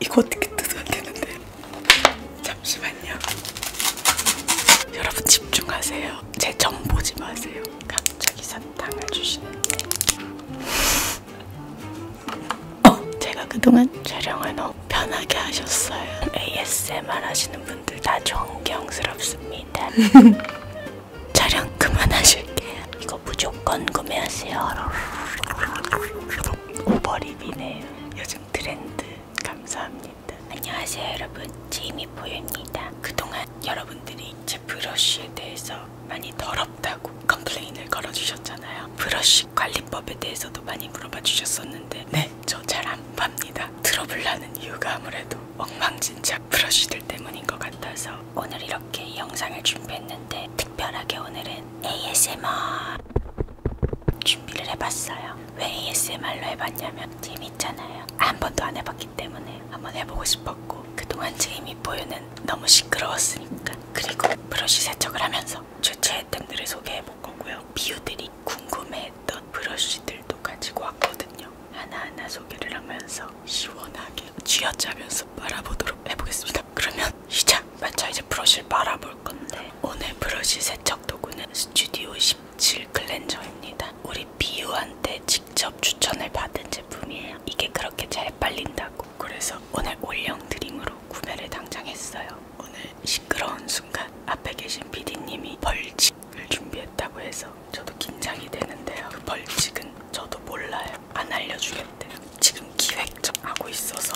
이거 어떻게 뜯어야 되는데 잠시만요 여러분 집중하세요 제정 보지 마세요 갑자기 사탕을 주시는데 어, 제가 그동안 촬영을 너무 편하게 하셨어요 ASMR 하시는 분들 다 존경스럽습니다 촬영 그만하실게요 이거 무조건 구매하세요 오버립이네요. 요즘 트렌드 감사합니다. 안녕하세요 여러분 제이미포유입니다. 그동안 여러분들이 제 브러쉬에 대해서 많이 더럽다고 컴플레인을 걸어주셨잖아요. 브러쉬 관리법에 대해서도 많이 물어봐 주셨었는데 네저 잘안 팝니다. 트러블 나는 이유가 아무래도 엉망진창 브러쉬들 때문인 것 같아서 오늘 이렇게 영상을 준비했는데 특별하게 오늘은 ASMR 준비를 해봤어요. 왜 ASMR로 해봤냐면 재밌잖아요. 한 번도 안 해봤기 때문에 한번 해보고 싶었고 그동안 제 이미 보유는 너무 시끄러웠으니까 그리고 브러쉬 세척을 하면서 최초 아이템들을 소개해볼 거고요. 비유들이 궁금해했던 브러쉬들도 가지고 왔거든요. 하나하나 소개를 하면서 시원하게 쥐어짜면서 빨아보도록 해보겠습니다. 그러면 시작! 맞죠? 이제 브러쉬를 말아볼 건데 오늘 브러쉬 세척 도구는 스튜디오 17 클렌저입니다. 우리 비유한테 직접 추천을 받은 제품이에요. 이게 그렇게 잘 빨린다고. 그래서 오늘 올영 드림으로 구매를 당장 했어요. 오늘 시끄러운 순간 앞에 계신 PD님이 벌칙을 준비했다고 해서 저도 긴장이 되는데요. 그 벌칙은 저도 몰라요. 안 알려주겠대요. 지금 기획 좀 하고 있어서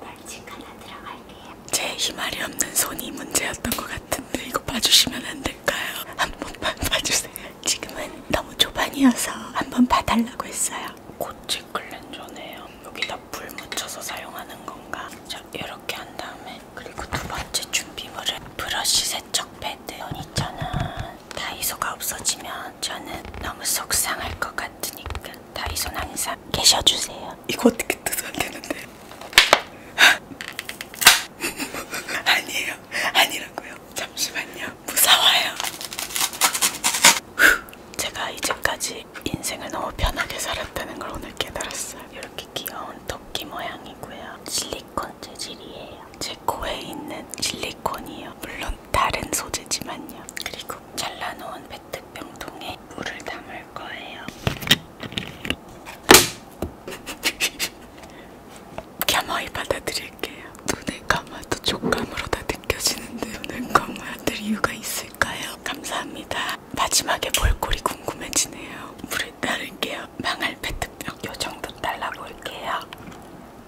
벌칙 하나 들어갈게요. 제 희말이 없는 손이 문제였던 것 같은데 이거 봐주시면 안 될까요? 한 번만 봐주세요. 지금은 너무 초반이어서 한번 봐달라고 했어요. 고체 클렌저네요. 여기다 불 묻혀서 사용하는 건가? 자 이렇게 한 다음에 그리고 두 번째 준비물은 브러쉬 세척 패드. 이잖아. 다이소가 없어지면 저는 너무 속상할 것 같으니까 다이소는 항상 계셔주세요. 이거 어떻게 뜯어야 되는데? 아니에요. 아니라고요. 잠시만요. 무서워요. 제가 이제까지 인생을 너무 편하게 살았다는 걸 오늘 깨달았어요. 이렇게 귀여운 토끼 모양이고요. 실리콘 재질이에요. 제 코에 있는 실리콘이요. 물론 다른 소재지만요. 그리고 잘라놓은 페트병통에 물을 담을 거예요. 겸허히 받아들일게요. 눈을 감아도 촉감으로 다 느껴지는데 눈을 감아야 될 이유가 있을까요? 감사합니다. 마지막에 볼꼴이 궁금해지네요. 물을 따를게요. 망할 페트병 요정도 잘라볼게요.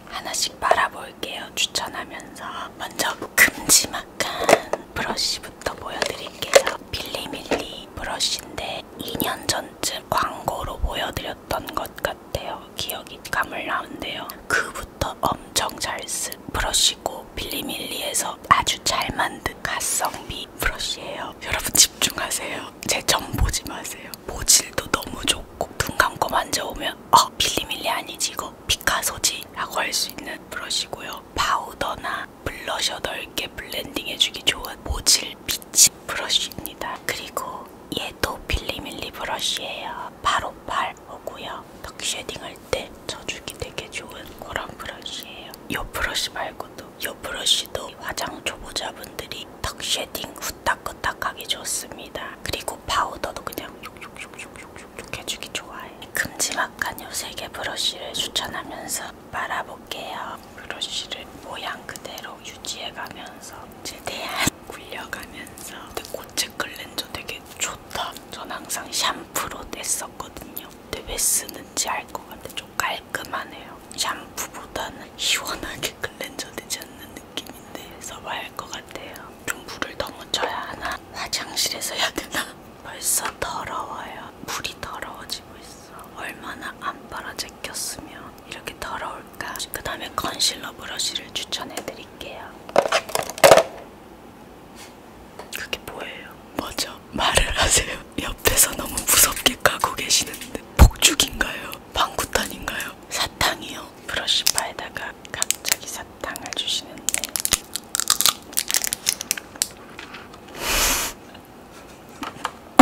하나씩 말아볼게요. 추천하면서 먼저 큼지막한 브러쉬부터 보여드릴게요. 밀리밀리 브러쉬인데 2년 전쯤 광고로 보여드렸던 것 같아요. 기억이 가물나운데요. 그부터 엄청 잘쓴 브러쉬고 밀리밀리에서 아주 잘 만든 가성비 브러쉬예요. 여러분 집중하세요. 제 점 보지 마세요. 모질도 너무 좋고 눈 감고 만져보면 어 빌리밀리 아니지 이거 피카소지 라고 할 수 있는 브러쉬고요 파우더나 블러셔 넓게 블렌딩 해주기 좋은 모질 빛이 브러쉬입니다 그리고 얘도 빌리밀리 브러쉬예요 858 오고요 덕 쉐딩 할때 젖주기 되게 좋은 그런 브러쉬예요 이 브러쉬 말고도 브러쉬도 이 브러쉬도 화장 초보자분들이 턱 쉐딩 후딱후딱하기 좋습니다. 그리고 파우더도 그냥 촉촉촉촉촉 해주기 좋아해. 큼지막한 요세개 브러쉬를 추천하면서 말아볼게요. 브러쉬를 모양 그대로 유지해가면서 최대한 굴려가면서 근데 고체 클렌저 되게 좋다. 전 항상 샴푸로 뗐었거든요. 근데 왜 쓰는지 알 것 같아. 좀 깔끔하네요. 샴푸보다는 시원하게 클렌저 되지 않는 느낌인데 써봐야 것 같아요. 좀 물을 더 묻혀야 하나? 화장실에서 해야 되나? 벌써 더러워요. 물이 더러워지고 있어. 얼마나 안 빨아제꼈으면 이렇게 더러울까? 그 다음에 컨실러 브러쉬를 추천해드릴게요. 그게 뭐예요? 뭐죠? 말을 하세요. 옆에서 너무 무섭게 까고 계시는데. 하시는데 폭죽인가요? 방구탄인가요? 사탕이요? 브러쉬바에다가 갑자기 사탕을 주시는데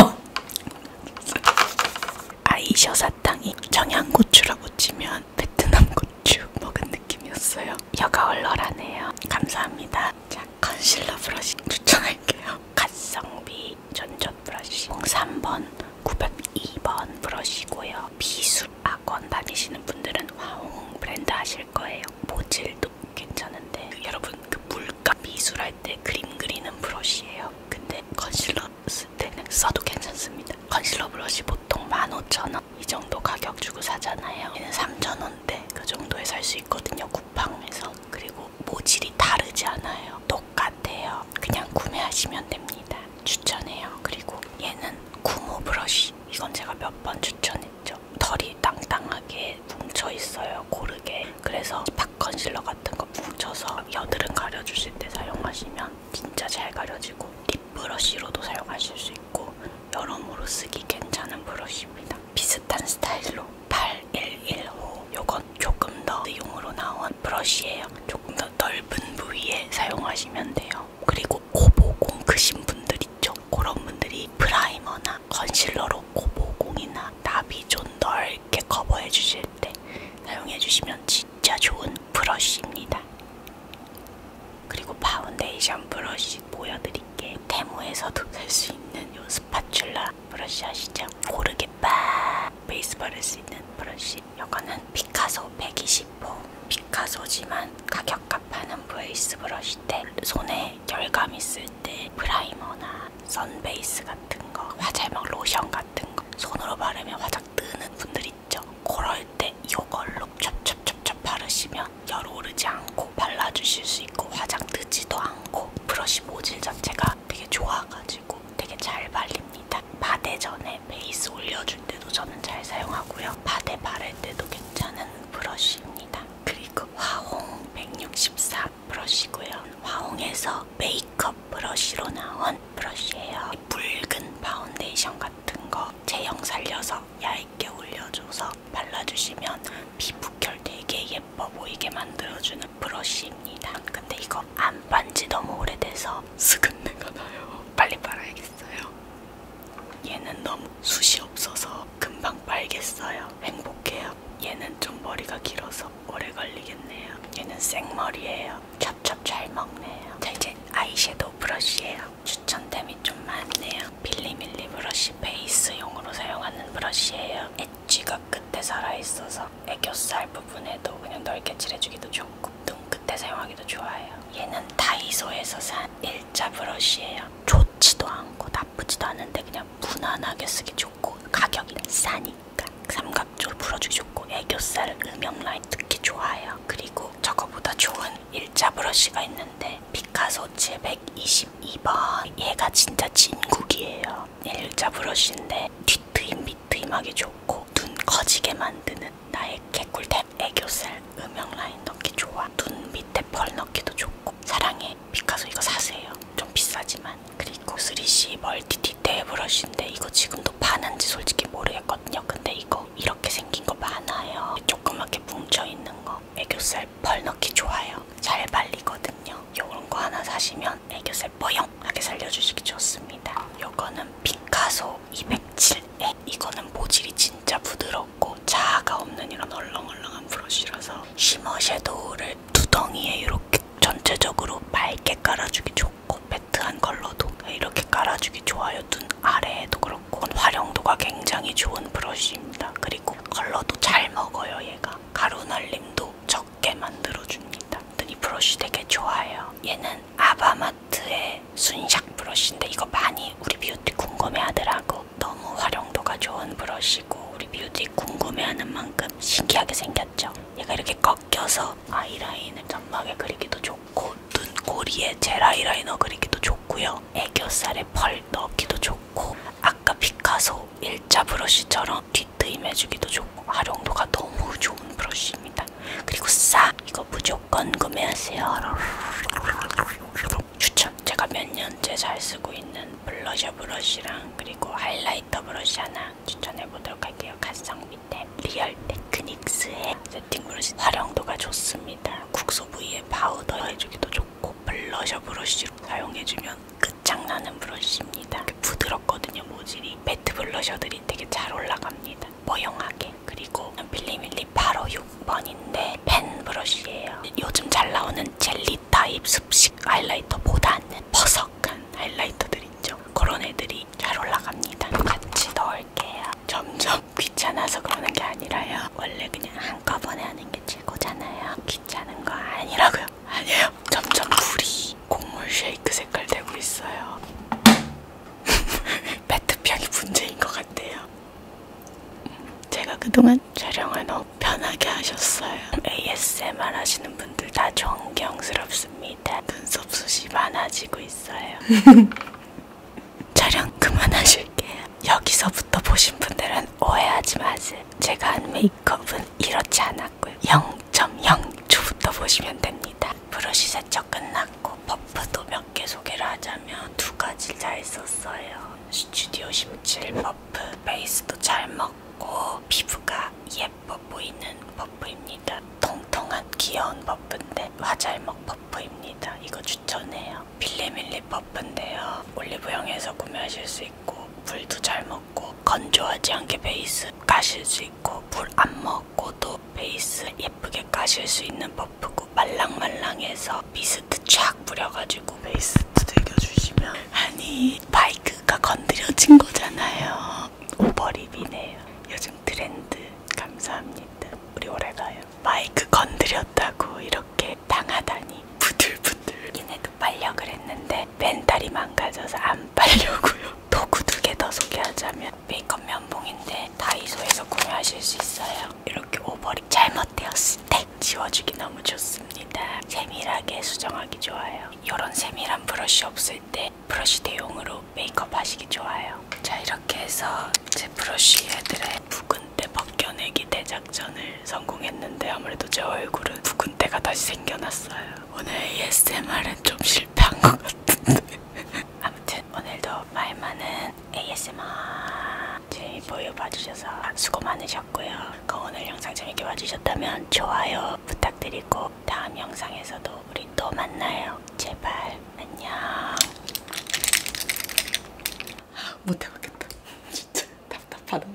아이셔 사탕이 청양고추라고 치면 베트남 고추 먹은 느낌이었어요. 혀가 얼얼하네요. 감사합니다. 자, 컨실러 브러쉬 추천할게요. 가성비 전전 브러쉬 03번 902번 브러쉬고요. 미술학원 다니시는 분들은 화홍 브랜드 하실 거예요. 모질도 괜찮은데 그 여러분 그 물감 미술할 때 그림 그리는 브러쉬예요. 근데 컨실러 쓸 때는 써도 괜찮습니다. 컨실러 브러쉬 보통 15,000원 이 정도 가격 주고 사잖아요. 얘는 3,000원대 그 정도에 살 수 있거든요. 쿠팡에서 그리고 모질이 다르지 않아요. 똑같아요. 그냥 구매하시면 됩니다. 추천해요. 그리고 얘는 구모 브러쉬. 이건 제가 몇 번 추천했죠. 털이 땅땅하게 뭉쳐 있어요. 고르게. 그래서 박 컨실러 같은 거 뭉쳐서 여드름 가려주실 때 사용하시면 진짜 잘 가려지고 립 브러쉬로도 사용하실 수 있고 여러모로 쓰기 괜찮은 브러쉬입니다. 비슷한 스타일로 8115 요건 조금 더 용으로 나온 브러쉬예요. 조금 더 넓은 부위에 사용하시면 돼요. 그리고 고보공 크신 분들 있죠? 그런 분들이 프라이머나 컨실러로 고보공이나 납이 좀 넓게 커버해 주실 때 사용해 주시면 진짜 좋은 브러쉬입니다. 그리고 파운데이션 브러쉬 보여드릴게요. 쉽게 테무에서도 살 수 있는 요 스파츌라 브러쉬 아시죠? 고르게 빡 베이스바를 수 있는 브러쉬 이거는 피카소 120호 피카소지만 가격값 하는 브레이스 브러쉬 때 손에 결감 있을 때 프라이머나 선베이스 같은 거 화잘막 로션 같은 거 손으로 바르면 화장 뜨는 분들 있죠? 그럴 때 이걸로 첩첩첩첩 바르시면 열 오르지 않고 발라주실 수 있고 화장 뜨지도 않고 브러쉬 모질 자체가 되게 좋아가지고 되게 잘 발립니다. 바데 전에 베이스 올려줄 때도 저는 잘 사용하고요. 바데 바를 때도 괜찮은 브러쉬입니다. 그리고 화홍 164 브러쉬고요. 화홍에서 메이크업 브러쉬로 나온 브러쉬예요. 붉은 파운데이션 같은 거 제형 살려서 얇게 올려줘서 발라주시면 피부결 되게 예뻐 보이게 만들어주는 브러쉬입니다. 근데 이거 안 반지 너무 오래돼서 스근내가 나요. 빨리 빨아야겠어요. 얘는 너무 숱이 없어서 금방 빨겠어요. 행복해요. 얘는 좀 머리가 길어서 오래 걸리겠네요. 얘는 생머리예요. 찹찹 잘 먹네요. 자 이제 아이섀도우 브러쉬예요. 추천템이 좀 많네요. 빌리밀리 브러쉬 베이스용으로 사용하는 브러쉬예요. 엣지가 끝에 살아있어서 애교살 부분에도 그냥 넓게 칠해주기도 좋고 눈 끝에 사용하기도 좋아요. 얘는 다이소에서 산 일자 브러쉬예요. 좋지도 않고 나쁘지도 않은데 그냥 무난하게 쓰기 좋고 가격이 싸니까 삼각존 풀어주기 좋고 애교살 음영 라인 특히 좋아요. 그리고 저거보다 좋은 1차 브러쉬가 있는데 피카소 722번 얘가 진짜 진국이에요 1차 브러쉬인데 뒤트임 밑트임하기 좋고 눈 커지게 만드는 나의 개꿀템 애교살 음영 라인 넣기 좋아 눈 밑에 펄 넣기도 좋고 사랑해 피카소 이거 사세요 좀 비싸지만 그리고 3C 멀티 디테일 브러쉬인데 이거 지금도 파는지 솔직히 모르겠거든요 근데 이거 이렇게 생긴 거 많아요 조그맣게 뭉쳐있는 거 애교살 펄 넣기 좋아요. 잘 발리거든요. 요런거 하나 사시면 애교살 뻐영하게 살려주시기 좋습니다. 요거는 피카소 207에 이거는 모질이 진짜 부드럽고 자아가 없는 이런 얼렁얼렁한 브러쉬라서 쉬머 섀도우를 두덩이에 이렇게 전체적으로 맑게 깔아주기 좋고 매트한 컬러도 이렇게 깔아주기 좋아요. 눈 아래에도 그렇고 활용도가 굉장히 좋은 브러쉬입니다. 그리고 컬러도 잘 먹어요 얘가. 가루 날림도 적게 만들어줍니다. 이 브러쉬 되게 좋아요. 얘는 아바마트의 순샥 브러쉬인데 이거 많이 우리 뷰티 궁금해하더라고. 너무 활용도가 좋은 브러쉬고 우리 뷰티 궁금해하는 만큼 신기하게 생겼죠. 얘가 이렇게 꺾여서 아이라인을 점막에 그리기도 좋고 고, 눈꼬리에 젤 하이라이너 그리기도 좋고요. 애교살에 펄 넣기도 좋고 아까 피카소 일자 브러쉬처럼 뒷트임 해주기도 좋고 활용도가 너무 좋은 브러쉬입니다. 그리고 싸! 이거 무조건 구매하세요. 추천! 제가 몇 년째 잘 쓰고 있는 블러셔 브러쉬랑 그리고 하이라이터 브러쉬 하나 추천해보도록 할게요. 가성 밑에 리얼 테크닉스의 세팅브러쉬 활용도가 좋습니다. 국소 부위에 파우더 해주기도 좋고 블러셔 브러쉬로 사용해주면 끝장나는 브러쉬입니다. 부드럽거든요 모질이. 매트 블러셔들이 되게 잘 올라갑니다. 모형하게. 그리고 빌리밀리 바로 6번인데 펜 브러쉬예요. 요즘 잘 나오는 젤리 타입 습식 하이라이터보다는 버석한 하이라이터들 있죠. 그런 애들이 잘 올라갑니다. 같이 넣을게요. 점점 귀찮아서 그러는 게 아니라요. 원래 그냥 한꺼번에 하는 게 최고잖아요. 귀찮은 거 아니라고요. 아니에요. 점점 물이 곡물 쉐이크 색깔 되고 있어요. 페트병이 문제인 것 같아요. 제가 그동안 촬영을 너무 편하게 하셨어요. ASMR 하시는 분들 다 존경스럽습니다. 눈썹 숱이 많아지고 있어요. 촬영 그만하실게요. 여기서부터 보신 분들은 오해하지 마세요. 제가 한 메이크업은 이렇지 않았고요. 0.0초부터 보시면 됩니다. 브러쉬 세척 끝났고 퍼프도 몇 개 소개를 하자면 두 가지 잘 썼어요. 스튜디오 심칠 퍼프 베이스도 잘 먹고 피부가 예뻐 보이는 퍼프입니다. 통통한 귀여운 버프인데 화잘먹 버프입니다. 이거 추천해요. 빌리밀리 버프인데요. 올리브영에서 구매하실 수 있고 물도 잘 먹고 건조하지 않게 베이스 까실 수 있고 물 안 먹고도 베이스 예쁘게 까실 수 있는 버프고 말랑말랑해서 미스트 쫙 뿌려가지고 베이스 두들겨주시면 아니 바이크가 건드려진 거잖아요. 오버립이네요. 요즘 요즘 트렌드 감사합니다. 우리 오래 가요. 마이크 건드렸다고 이렇게 당하다니 부들부들. 얘네도 빨려 그랬는데 멘탈이 망가져서 안 빨려고요. 도구 두 개 더 소개하자면 메이크업 면봉인데 다이소에서 구매하실 수 있어요. 이렇게 오버립 잘못되었을 때 네, 지워주기 너무 좋습니다. 세밀하게 수정하기 좋아요. 이런 세밀한 브러쉬 없을 때때 브러쉬 대용으로 메이크업 하시기 좋아요. 자 이렇게 해서 제 브러쉬 애들의 묵은때 벗겨내기 대작전을 성공했는데 아무래도 제 얼굴은 묵은때가 다시 생겨났어요. 오늘 ASMR은 좀 실패한 것 같은데 아무튼 오늘도 말 많은 ASMR 재미 보여봐주셔서 수고 많으셨고요. 오늘 영상 재밌게 봐주셨다면 좋아요 부탁드리고 다음 영상에서도 또 우리 또 만나요. 제발 안녕. 못해봤겠다. 진짜 답답하다.